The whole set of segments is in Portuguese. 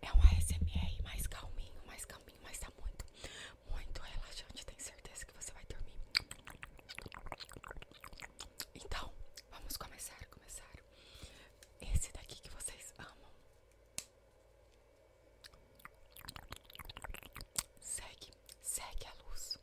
É um ASMR mais calminho, mais calminho, mas tá muito, muito relaxante. Tenho certeza que você vai dormir. Então, vamos começar, começar. Esse daqui que vocês amam. Segue, segue a luz.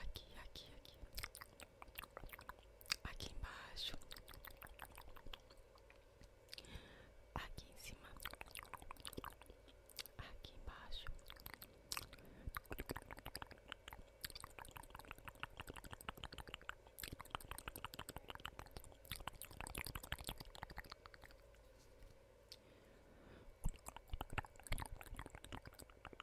aqui, aqui, aqui, aqui embaixo, aqui em cima, aqui embaixo.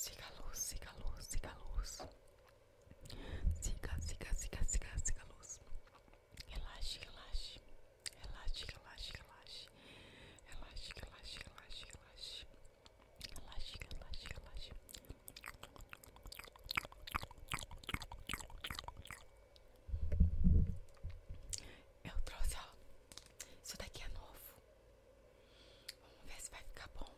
Siga a luz, siga a luz, siga a luz. Siga, siga, siga, siga, siga a luz. Relaxe, relaxe. Relaxe, relaxe, relaxe. Relaxe, relaxe, relaxe, relaxe. Relaxe, relaxe, relaxe. Eu trouxe, ó. Isso daqui é novo. Vamos ver se vai ficar bom.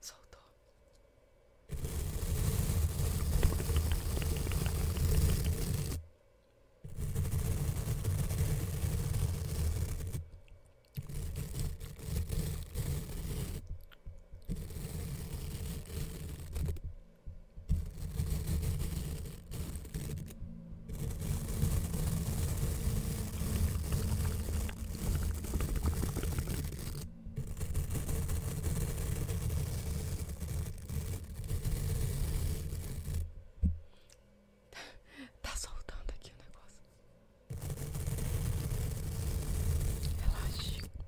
Soltou. Tá, tá soltando aqui o negócio. Relaxa.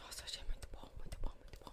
Nossa, achei muito bom, muito bom, muito bom.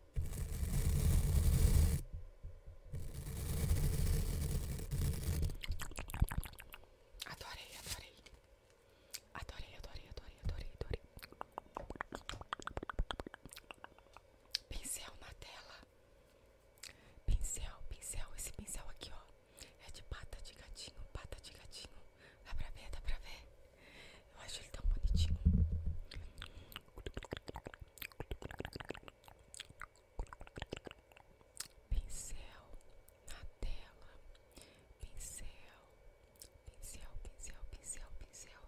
Adorei, adorei. Adorei, adorei, adorei, adorei, Pincel na tela. Pincel, pincel. Esse pincel aqui, ó. É de pata de gatinho, pata de gatinho. Dá pra ver, dá pra ver. Eu acho ele tão bonitinho pincel na tela, pincel, pincel, pincel, pincel, pincel.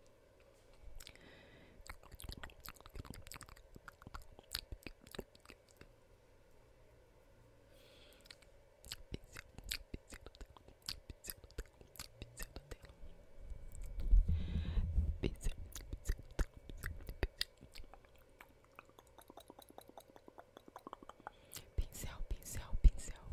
pincel, pincel, pincel.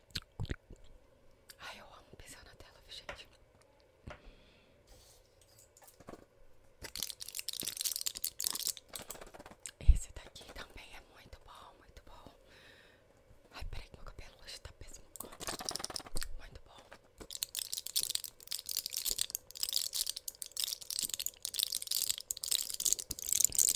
Ai, eu amo pisar na tela, gente. Esse daqui também é muito bom, muito bom. Ai, peraí que meu cabelo hoje tá péssimo. Muito bom.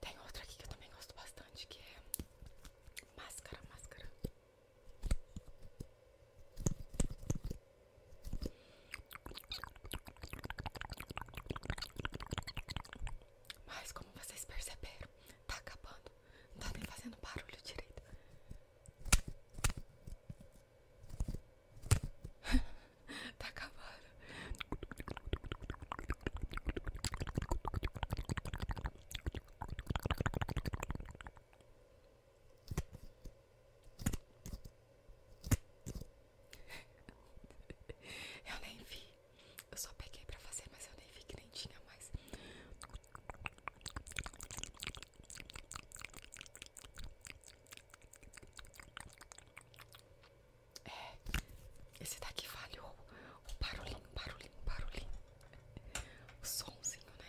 Tem outra aqui que eu também gosto bastante, que é máscara, máscara. Mas como vocês perceberam, tá acabando. Não tá nem fazendo barulho direito. tá acabando. Eu nem vi. Eu só peguei pra fazer, mas eu nem vi que nem tinha mais. É, esse daqui falhou. O barulhinho, barulhinho, barulhinho. O somzinho, né?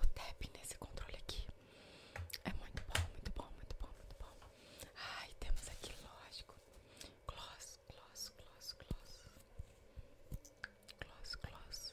O tap nesse controle aqui é muito bom, muito bom, muito bom, muito bom. Ai, temos aqui, lógico, gloss, gloss, gloss, gloss, gloss, gloss.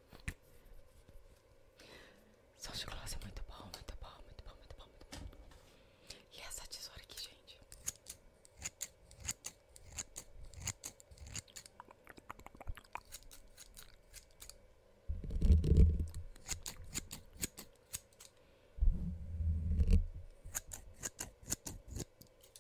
São chocolates é muito bom, muito bom, muito bom, muito bom. E essa tesoura aqui, gente.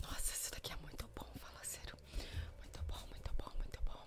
Nossa, isso daqui é muito bom, fala sério. Muito bom, muito bom, muito bom.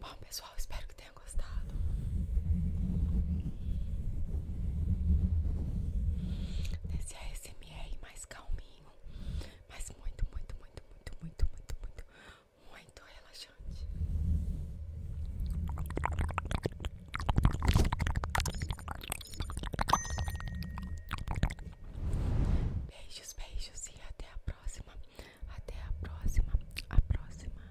Bom, pessoal, espero que tenham gostado. Nesse ASMR é mais calminho, mas muito, muito, muito, muito, muito, muito, muito, muito relaxante. Beijos, beijos e até a próxima. Até a próxima. A próxima.